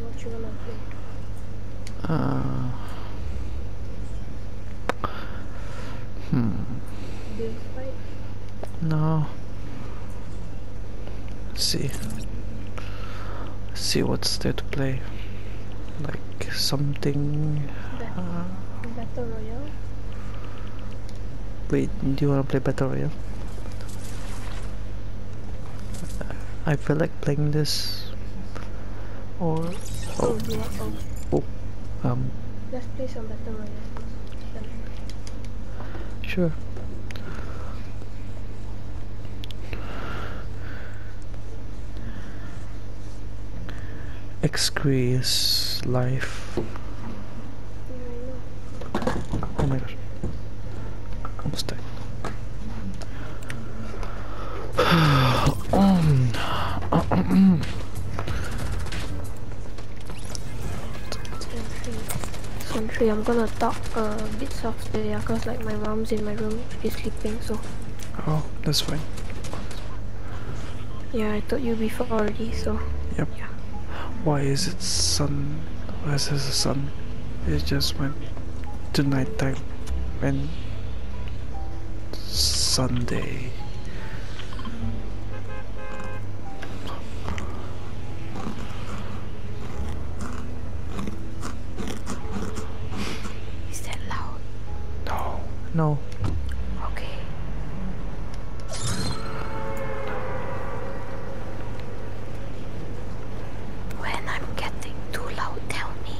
What you wanna play? Uh. Hmm. No. see. see what's there to play. Like something. Ah, Battle Royale. Wait, do you wanna play Battle Royale? I feel like playing this or oh, oh, oh. oh, um let's play sure Excrious life oh my gosh I'm Country, I'm gonna talk uh, a bit softer yeah, uh, cause like my mom's in my room, she's sleeping so. Oh, that's fine. Yeah, I told you before already, so. Yep. Yeah. Why is it sun? Why is this a sun? it's just when the night time and Sunday Is that loud? No. No. Okay. When I'm getting too loud, tell me.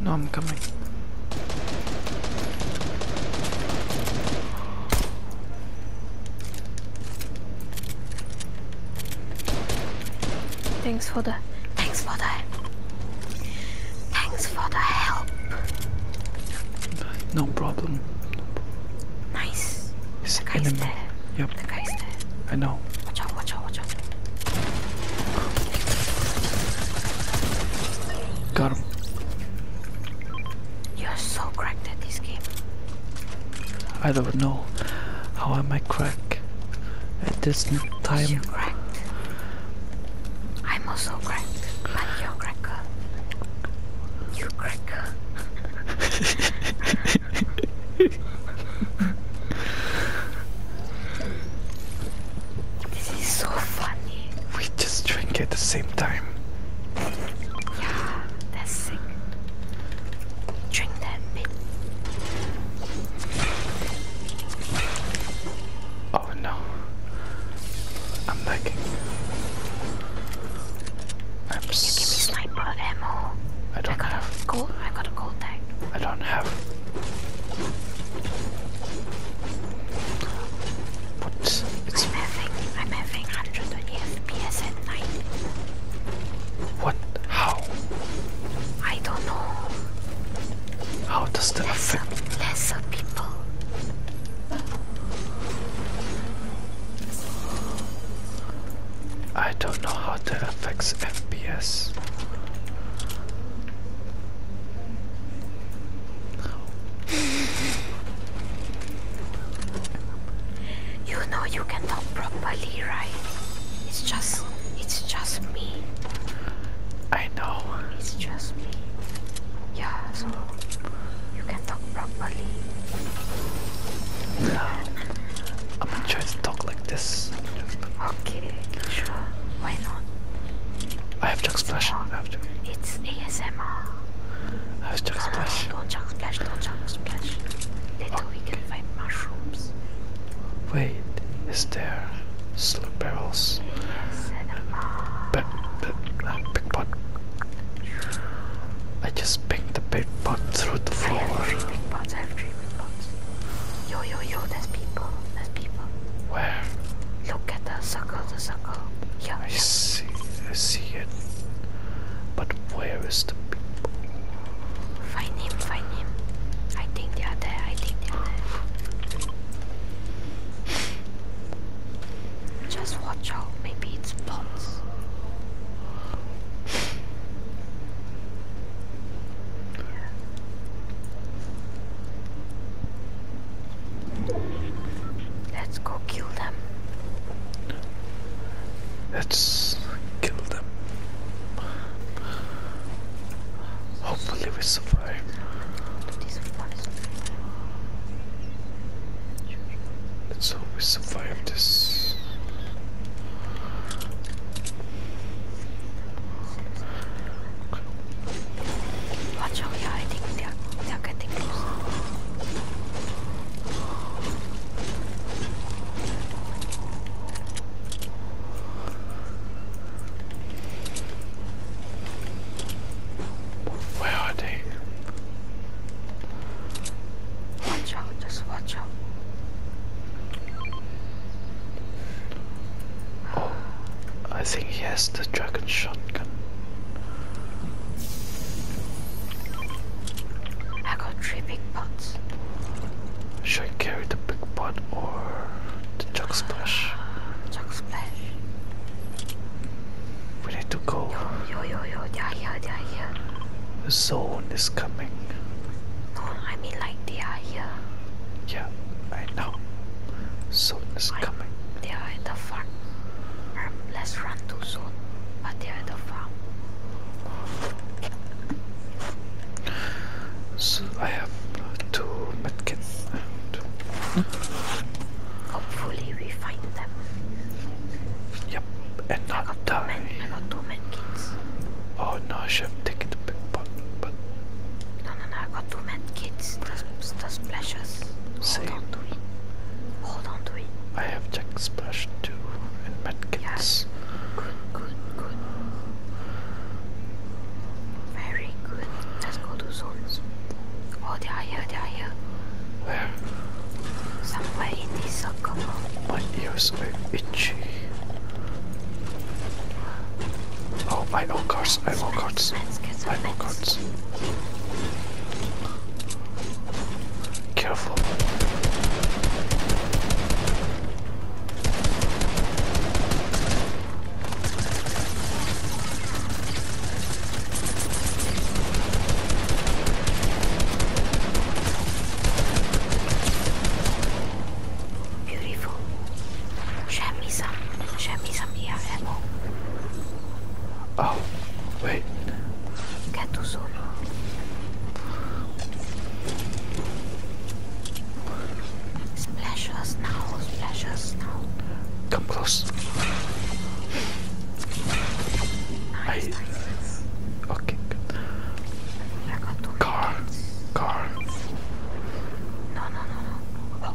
No, I'm coming. Thanks for the... Thanks for the... Thanks for the help. No problem. Nice. the guy's there. Yep. I know. Watch out, watch out, watch out. Got him. You're so cracked at this game. I don't know. How am I cracked at this time? You're cracked. I'm also cracked. But you're cracker. You cracker. This is so funny. We just drink at the same time. Yeah, that's sick. Drink that bit. Oh no. I'm lagging. i don't have. Go i got a coal tag. I don't have. But it's. I'm having. hundred am FPS at night. What? How? I don't know. How does that less affect? Of, less people. I don't know how that affects FPS. You know you can talk properly, right? It's just, it's just me. I know. It's just me. Yeah, so you can talk properly. No, I'm gonna try to talk like this. Okay, sure why not? I have Chuck Splash. I have to. It's ASMR. I have Chuck Splash. don't Chuck Splash, don't Chuck Splash. Later okay. we find mushrooms. Wait, is there slip barrels? But uh, pickpot. I just picked the big pickpot through the floor. Yo, yo, yo, there's people. There's people. Where? Look at the circle, the circle. Yeah. I see, I see it. But where is the people? Find him, find him. I think they are there, I think they are there. Just watch out, maybe it's bots. Let's go kill them. Let's kill them. Hopefully we survive. Let's hope we survive this. Watch out, yeah, I think they Where are they? Watch just watch out. Oh, I think he has the dragon shotgun. I got three big pots. Should I carry the big pot or the jug splash? We need to go. Yo, yo, yo, yo, they're here, they're here. The zone is coming. No, I mean like they are here. Yeah that right Soon is coming. They are in the farm. let's run too soon, but they are in the farm. So I have two medkits. Hopefully we find them. Yep, and not I got die. Two men, two medkits. Oh no, I should have taken the big pot. but. No, no, no, I got two med kids. That's the splashes. Same. Hold on to it. Hold on to it. I have check splash too, and med kids. Yes. Good, good, good. Very good. Let's go to zones. Oh, they are here, they are here. Where? Somewhere in this circle. My ears are itchy. Oh, I own cards, I am own cards, I own cards. Careful. Beautiful. Share me some. Share me some Yeah. Oh, wait. Get to soon. Splash now. Splash now. Come close. Nice, Okay, good. Car. Car. No, no, no, no.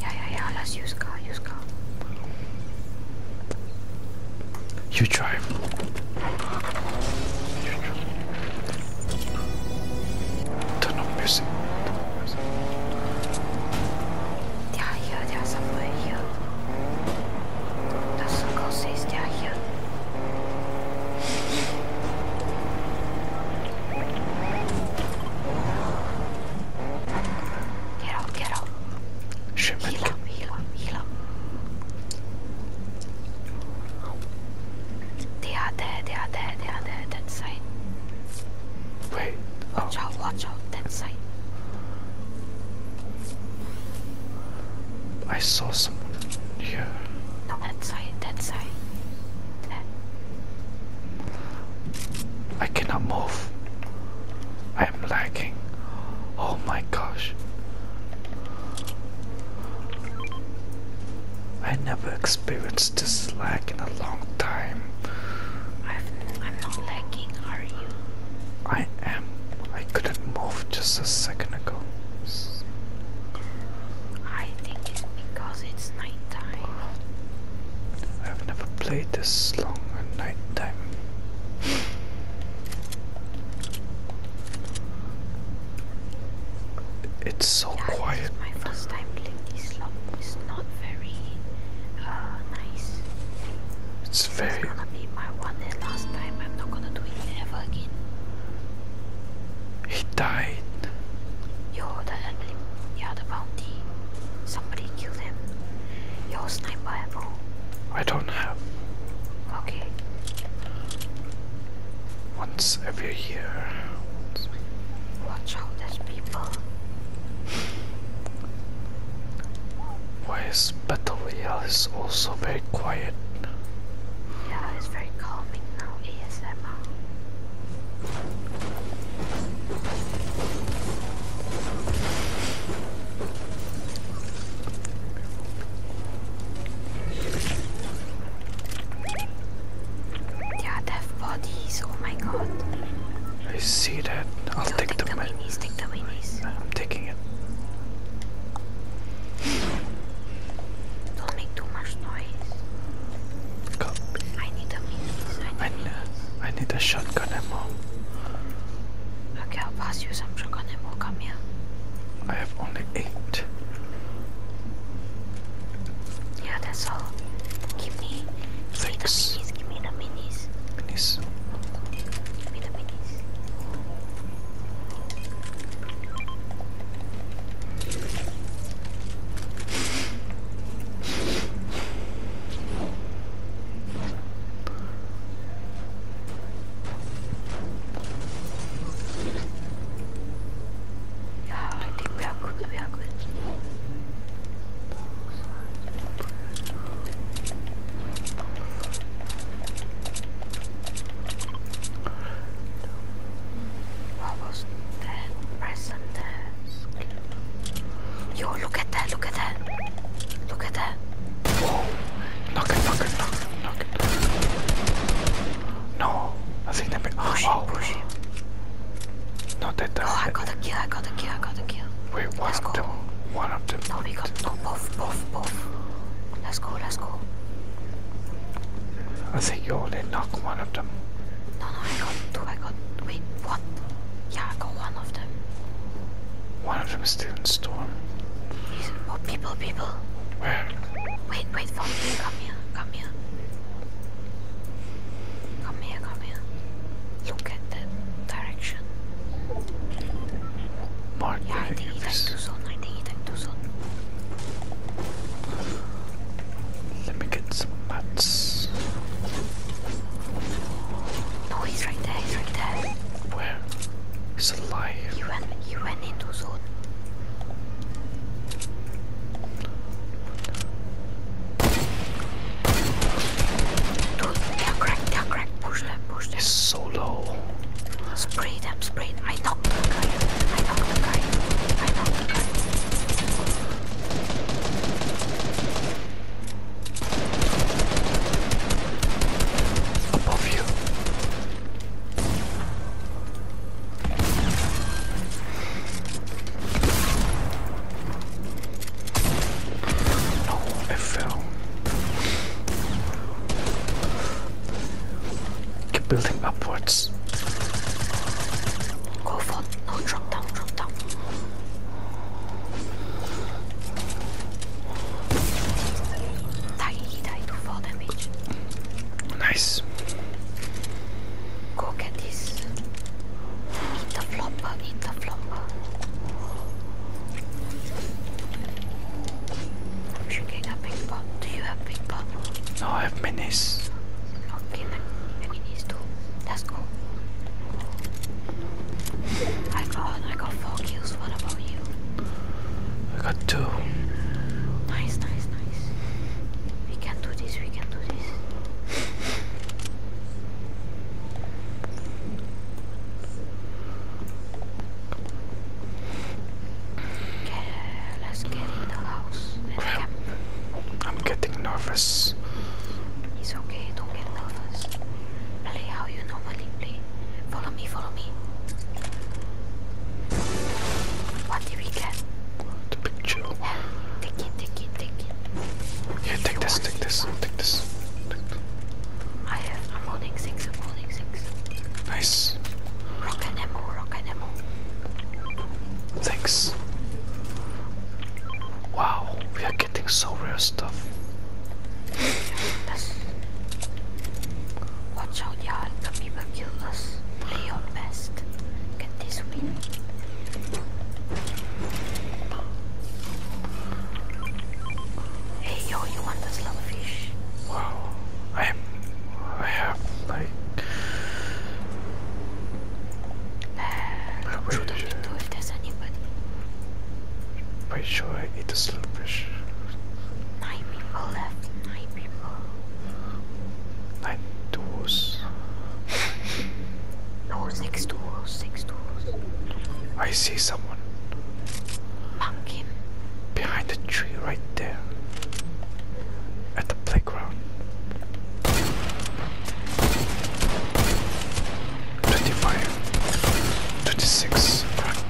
Yeah, yeah, yeah. Let's use car. Use car. You drive. Turn on music house. They are here, they are somewhere here. The circle says they are here. Get out, get out. Shipment. Heal up, heal up, heal up. They are there, they are there, they are there, that side. Wait. Watch oh. out, watch out, that side. Oh. I saw someone here. that side, that side. I cannot move. I am lagging. Oh my gosh. I never experienced this lag in a long time. I'm not lagging, are you? I am. I couldn't move just a second ago. I think it's because it's nighttime. I've never played this long at nighttime. It's so quiet. This is my first time playing this long. It's not uh, it's very. It's gonna be my one and last time. I'm not gonna do it ever again. He died. Yo, the enemy, yeah, the bounty. Somebody killed him. Yo, sniper ammo. I don't have. Okay. Once every year. Watch out, there's people. Voice Battle Royale is also very quiet. Yeah, it's very calming now, ASMR. Yeah, deaf bodies, oh my god. I see that. I'll take, the, the I'm taking it. Don't make too much noise. I need the wings. I need, a shotgun ammo. Okay, I'll pass you some shotgun ammo. Come here. I have only eight. Yeah, that's all me, Thanks. Give me the minis. Minis. Give me the minis. yeah, I think we are good. We are good. What was that? Yo, look at that, look at that. Look at that. Whoa. Knock it, knock it, knock it, knock it. No, I think that. Oh, oh, push not that though. Oh, I got a kill, I got a kill, I got a kill. Wait, one of them. One of them. No, we got no both, both, both. Let's go, let's go. I think you only knock one of them. No, no, I got two, I got, wait, what? Yeah, I got one of them. One of them is still in storm. oh, people, people. Where? Wait, wait for me, come here, come here. Come here, come here. Look at direction. Mark yeah, I think he died too soon. I think he died too soon. Let me get some mats. No, he's right there. He's right there. Where? He's alive. He went. He went in too down crack, down crack, push them, push them. It's so low. Spray them, spray them. I knocked the guy. I knocked the guy. I knocked the guy. Above you. I fell. Keep building upwards. Go for no drop down, drop down. Die, die to fall damage. Nice. Go get this. Eat the flopper, eat the flopper. Do you have big pop? No, I have minis. Okay, minis too. Let's go. I got, I four kills. What about you? I got two. Nice, nice, nice. We can do this. We can do this let's get in the house. I'm getting nervous. It's okay, don't get nervous. Play how you normally play. Follow me, follow me. What did we get? The picture. Take it, take it, take it. Yeah, take this, take this, take this. I am holding six, I'm holding six. Nice. Rock and ammo, rock and ammo. Thanks. Wow, we are getting so rare stuff. That's... Watch out, yeah, the people kill us. Play your best. Get this win. Hey yo, you want this little fish? Wow, I have, I have like. Uh, wait, I eat this little fish? Nine people left. Nine people. Nine doors. No, next to us, next to I see someone. Pumpkin. Behind the tree right there. At the playground. 25. 26. Crack.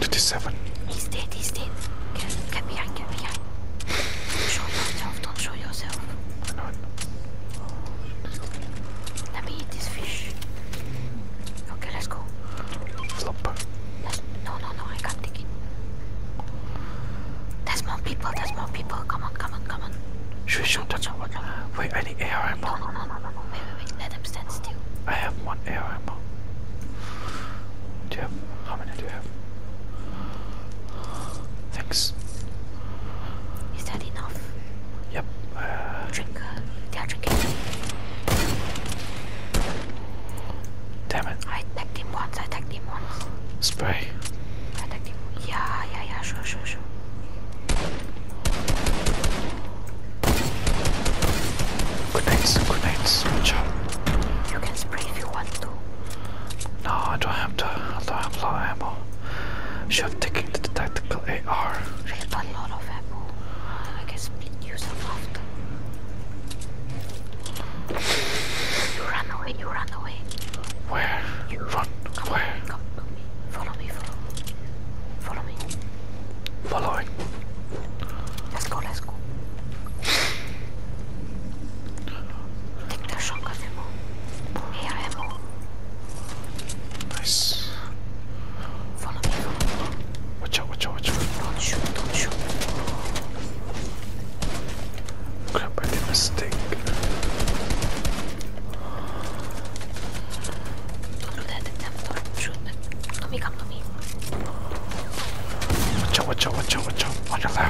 27. He's dead, he's dead. get behind, get behind. Show yourself, don't show yourself. I know it. Let me eat this fish. Okay, let's go. Flop. Let's, no, no, no, I can't take it. There's more people, there's more people. Come on, come on, come on. Should we shoot them? Wait, I need AR ammo. No, no, no, no, no, no. Wait, wait, wait. Let them stand still. I have one AR ammo. Do you have how many do you have? Thanks. Is that enough? Yep. Uh, Drink. Uh, Damn it. I attacked him once. I attacked him once. Spray. I attacked him. Yeah, yeah, yeah. Sure, sure, sure. Grenades, grenades, good job. You can spray if you want to. No, I don't have to. I don't have a lot of ammo. Should have taken the tactical AR. We have a lot of ammo. I can split you some after. You run away, you run away. Where? You run. Come Where? On, come, come me. Follow me, follow me. Follow me. Following. Let's go, let's go. Take the shock of him. Here I am. Nice. Watch out, watch out, watch out. Don't shoot, don't shoot. Crap, I did a mistake. Don't let the tempter shoot me. Come, come to me. Watch out, watch out, watch out, watch out. Watch out!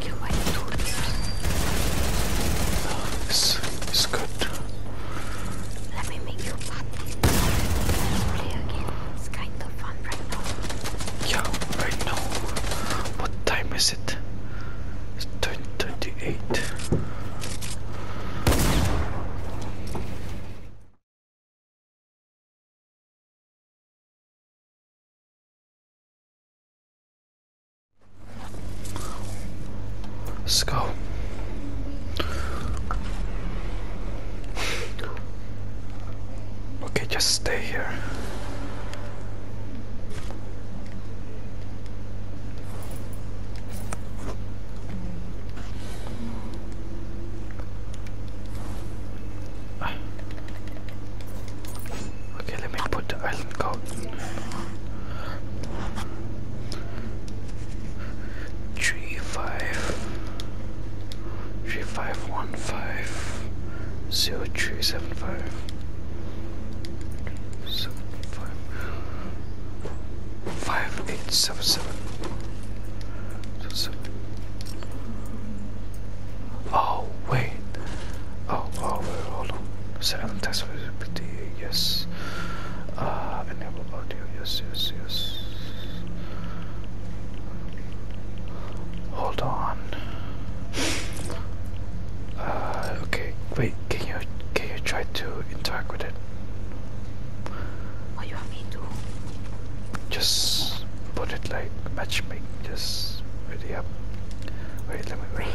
kill oh, good. Let me make you happy. Play again. It's kind of fun right now. Yeah, right now. What time is it? It's 10:38. Let's go. Okay, just stay here. Okay, let me put the island coat. Three five three five one five zero three seven five seven five five eight seven seven. So seven. Oh, wait. Oh, oh, wait, hold on. Seven test for GPT, yes. Ah, uh, enable audio, yes, yes, yes. Hold on. Uh, okay, wait, can you, can you try to interact with it? What oh, do you want me to do? Just put it like matchmaking. Just ready up. Wait, let me ready.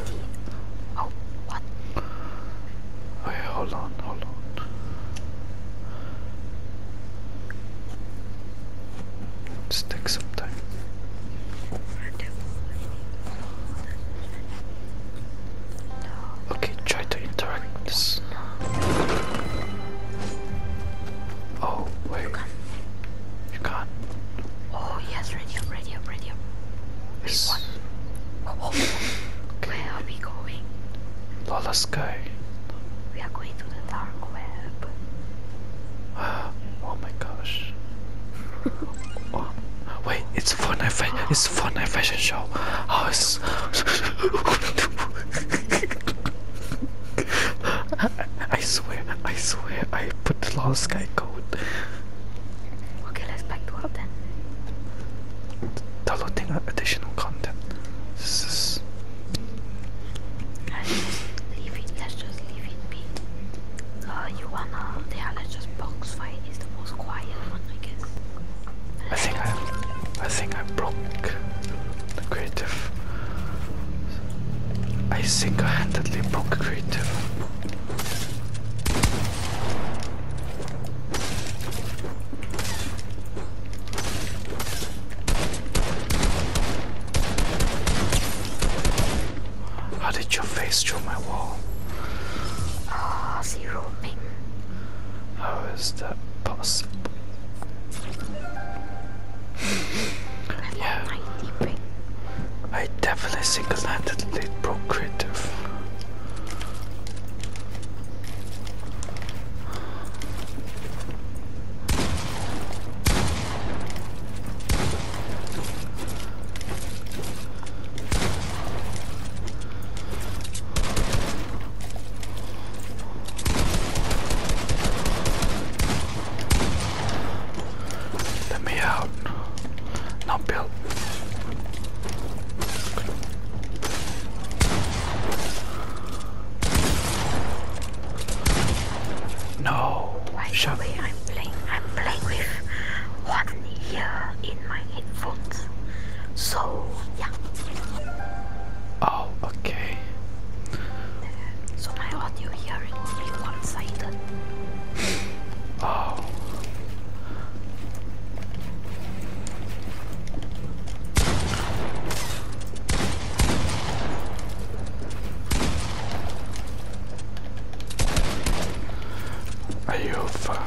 Oh, what? Okay, hold on, hold on. Just some time. Okay, try to interact Oh, wait. You're Oh yes, ready, radio, ready. Wait, yes. what? Oh, oh, okay. Where are we going? Lala Sky. We are going to the dark web. oh my gosh. oh. Wait, it's for fashion. It's for fashion show. Oh, I swear, I swear, I put the Lala Sky Okay, let's back to up then. Downloading additional content. This is. Let's just leave it. Let's just leave it be. Uh, you wanna? Yeah, let's just box fight. It's the most quiet one, I guess. I think I, I think I broke the creative I single-handedly broke creative. How did your face show my wall? Ah, oh, zero ping. How is that possible? yeah. I definitely single-handedly broke creative. Let me out. Now build. No. By Shut the I'm playing. I'm playing with one ear in my headphones. So yeah. Oh, okay. So my audio hearing will be one-sided. Oh. Are you fine?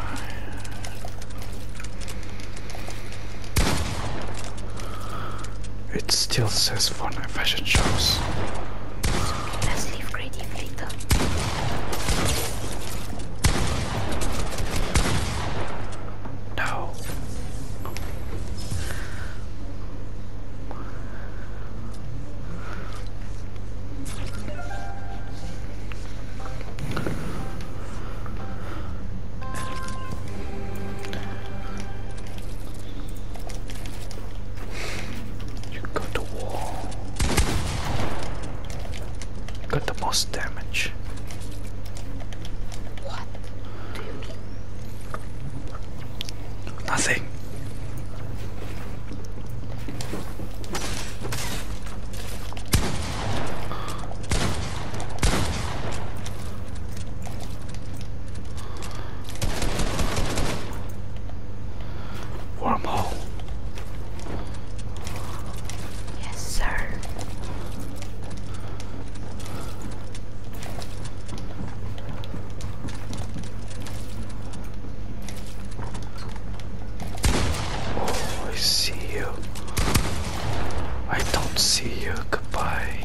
It still says fun at fashion shows. Let's leave Grady later. No. You got the wall. You got the most damage. What do you Nothing. Wormhole. Yes, sir. Oh, I see you. I don't see you. Goodbye.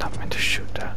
Not meant to shoot that.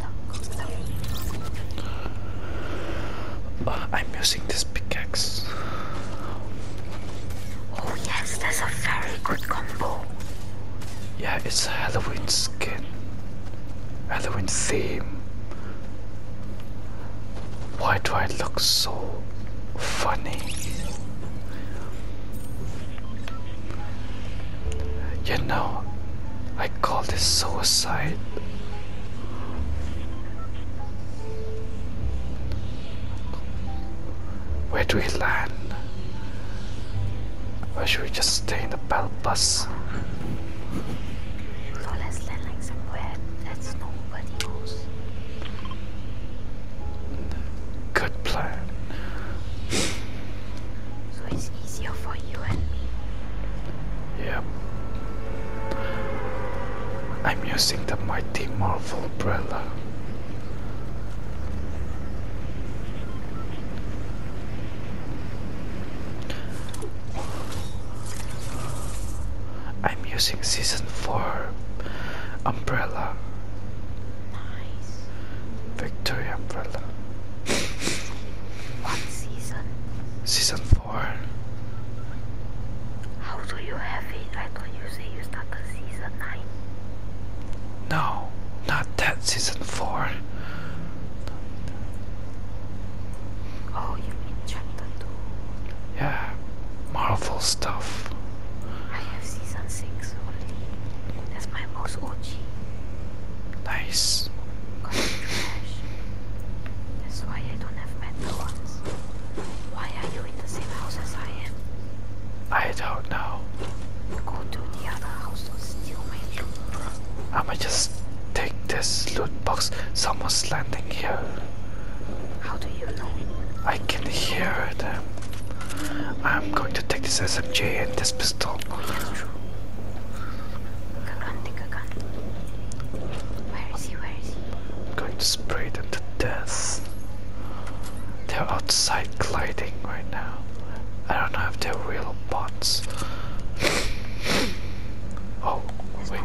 I'm using this pickaxe. Oh yes, that's a very good combo. Yeah, it's Halloween skin. Halloween theme. Why do I look so funny? You know, I call this suicide. Where do we land? Or should we just stay in the battle bus? let's land somewhere that's nobody knows. Good plan. So it's easier for you and me. Yep. I'm using the mighty Marvel umbrella. I'm using season 4 umbrella. Nice. Victory umbrella. What season? Season 4. How do you have it? I thought you say you started season 9. No, not that season 4. Oh, you mean chapter 2? Yeah, Marvel stuff. I have season 6 only. That's my most OG. Nice. That's why I don't have better ones. Why are you in the same house as I am? I don't know. Go to the other house or steal my loot, bro. I'ma just take this loot box. Someone's landing here. How do you know? I can hear them. I'm going to take this SMG and this pistol. Where is he? Where is he? I'm going to spray them to death. They're outside gliding right now. I don't know if they're real bots. oh, wait.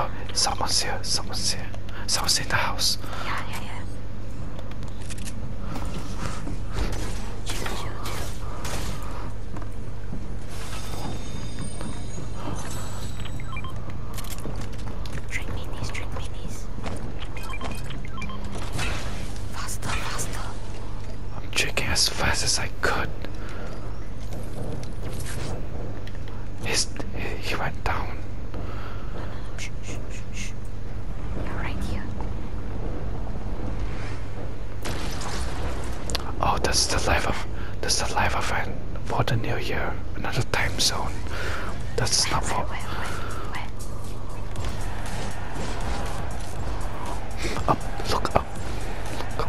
Oh, someone's here, someone's here. Someone's in the house. Yeah, yeah, yeah. Drink minis, drink minis. Faster, faster. I'm checking as fast as I could. His, he went down. You're right here. Oh, that's the life of that's the life of an for the new year. Another time zone. That's not for. Up, look up. Look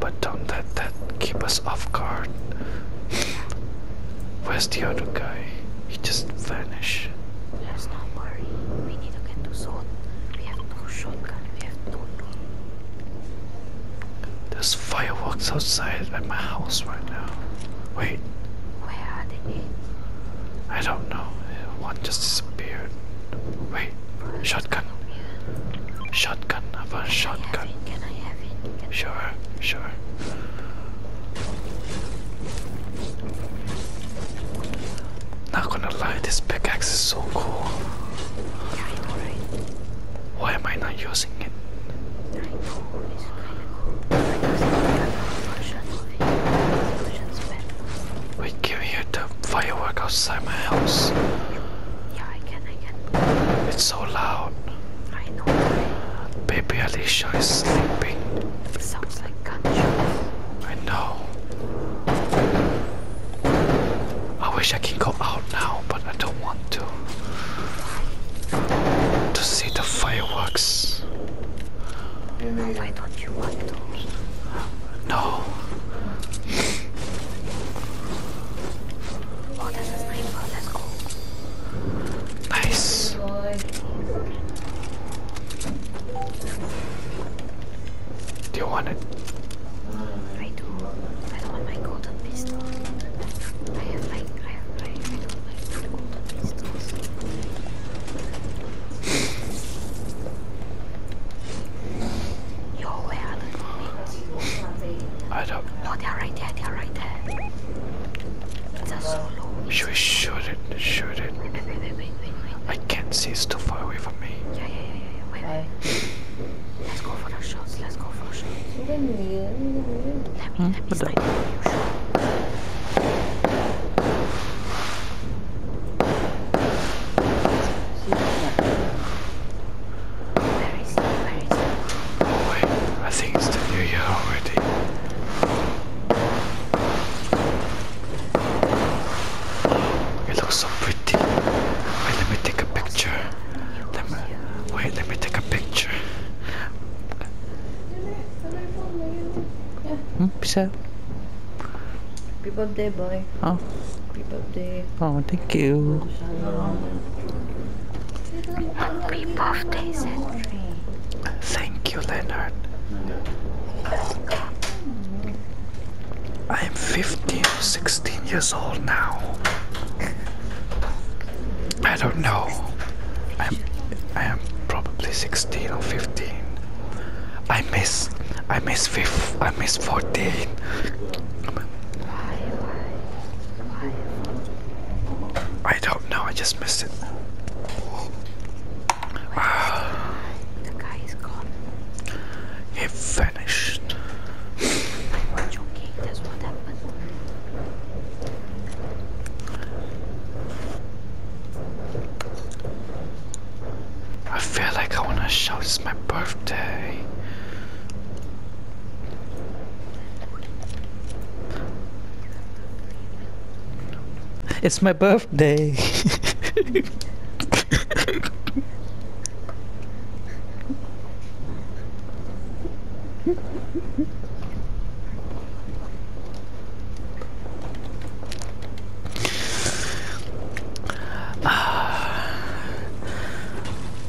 but don't let that keep us off guard. Where's the other guy? He just vanished. Let's not worry. We need to get to zone. We have no shotgun. We have no loot. There's fireworks outside at my house right now. Wait. Where are they? I don't know. One just disappeared. Wait. Shotgun. Shotgun. I have a shotgun. sure, sure. Not gonna lie, this pickaxe is so cool. Why am I not using it? I Wait, can you hear the fireworks outside my house? Yeah, I can, I can. It's so loud. I know. Baby Alicia is sleeping. It sounds like gunshots. I know. I wish I could go out now, but I don't want to. To see the fireworks. Why don't you want to? No. Oh, that's a sniper. Let's go. Nice. Do you want it? I do. I don't want my golden pistol. I have like, I have I do my golden pistols. Yo, where are the zombies? I don't know. No, they're right there, they're right there. It's a solo. Should we shoot it? Shoot it. Wait, wait, wait, wait, wait, I can't see, it's too far away from me. Yeah, yeah, yeah, yeah. Wait, wait. Let's go for the shots, let's go for the shots. Hmm? Let me, let me snipe you wait, I think it's the new year already. It looks so pretty. let me take a picture. Let me, wait, let me take a picture. Hmm, peace out. Happy birthday, boy. Oh. Happy birthday. Oh, thank you. Happy birthday, Thank you, Leonard. I am 15, 16 years old now. I don't know. I am probably 16 or 15. I miss, I miss fifth. I missed 14. I don't know, I just missed it. Uh, the guy is gone. He vanished. i I feel like I wanna shout it's my birthday. It's my birthday.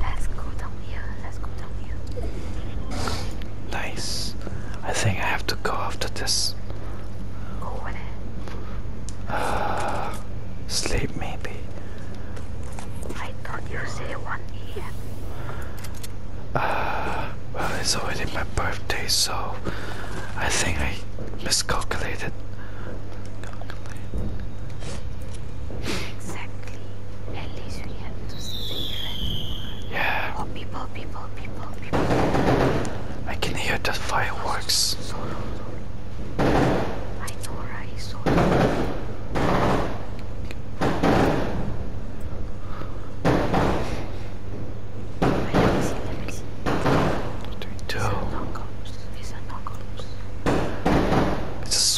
Let's go down here. Let's go down here. Nice. I think I have to go after this. Go with uh, sleep maybe. I thought you said 1 a.m. Uh, well, it's already my birthday, so I think I miscalculated. Exactly. At least we have to save it. Yeah. Oh, people, people, people, people. I can hear the fireworks. Sorrow. I know, right? Sorrow.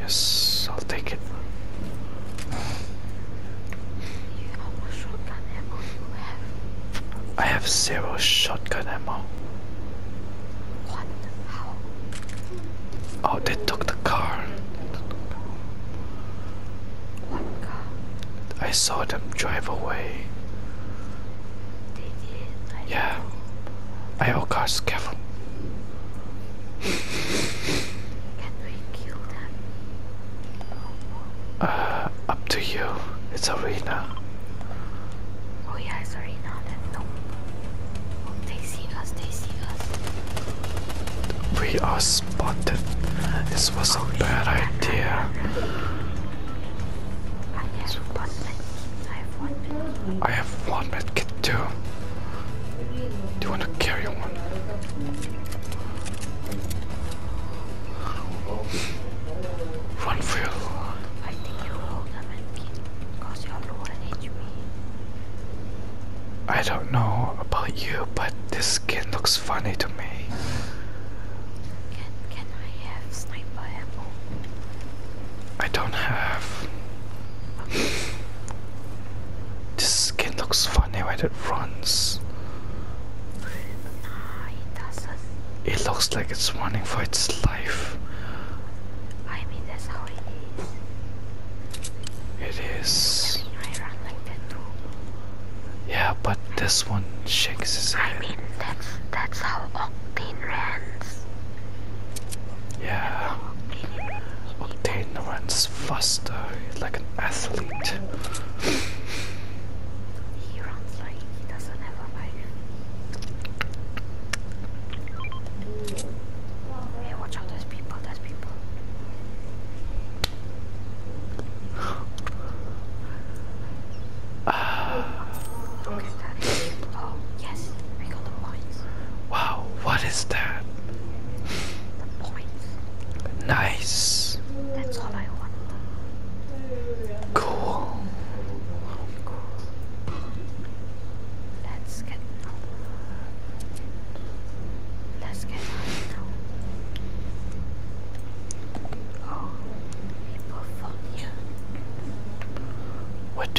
Yes, I'll take it. I have zero shotgun ammo. Oh, they took the car. I saw them drive away. yeah. I oh, got scared we Uh, up to you. It's Arena. Oh yeah, Arena. they see us. They see us. We are spotted. This was a oh, bad idea. I have one medkit. I have one medkit too. Do you want to carry one? Run for I you I don't know about you, but this skin looks funny to me. Can, can I have sniper ammo? I don't have. This skin looks funny when it runs. It looks like it's running for its life. I mean, that's how it is. It is. I run like that too. Yeah, but this one shakes his head. I mean, that's, that's how Octane runs. Yeah, Octane runs faster, he's like an athlete. he runs like he doesn't have a bike. Hey, watch out, there's people, there's people. Uh, ah. Look at that. Oh, yes, we got the points. Wow, what is that? Nice. That's all I want. Cool. Let's get Let's get out now. Oh, people from here. What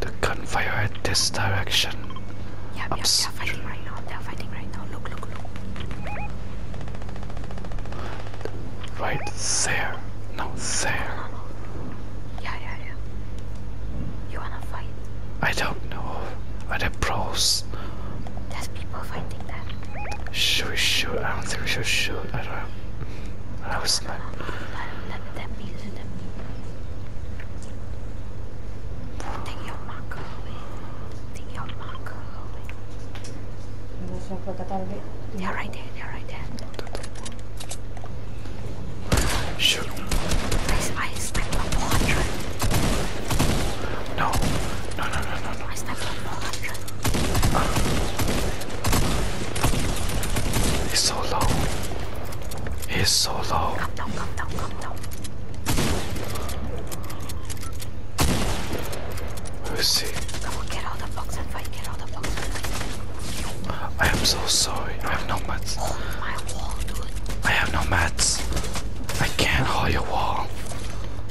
The gunfire at this direction. Yeah, yeah, they're fighting right now. They're fighting right now. Look, look, look. Right there. No, there. Yeah, yeah, yeah. You wanna fight? I don't know. Are they pros? There's people fighting that. Should we shoot? I don't think we should shoot. I don't know. I was not. Let right there, they right there. Shoot. Ice, ice, I level 100. No, no, no, no, no, no. I level 100. Uh. He's so low. He's so low. Come down, come down, come down. Who is he? Come and get out the box I am so sorry. I have no mats. Oh, I have no mats. I can't haul your wall.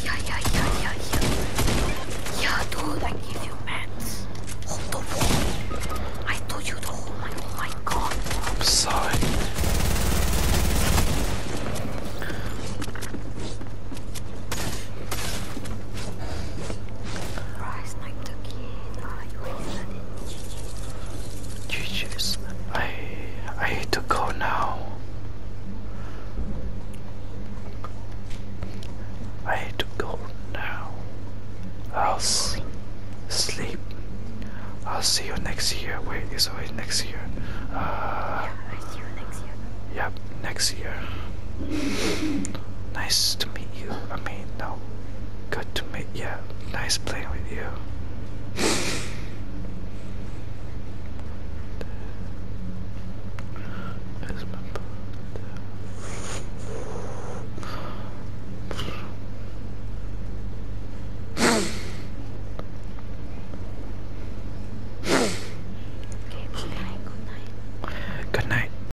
Yeah, yeah, yeah, yeah, yeah. Yeah, dude, I give you mats. Hold the wall. I told you to hold my, oh my god. I'm sorry. I Jesus, I I hate to go now. I hate to go now. I'll sleep. I'll see you next year. Wait, it's always next year. Uh, yeah, i next year. Yeah, next year. Nice to meet you. I mean, no. Good to meet you. Nice playing with you. Good night.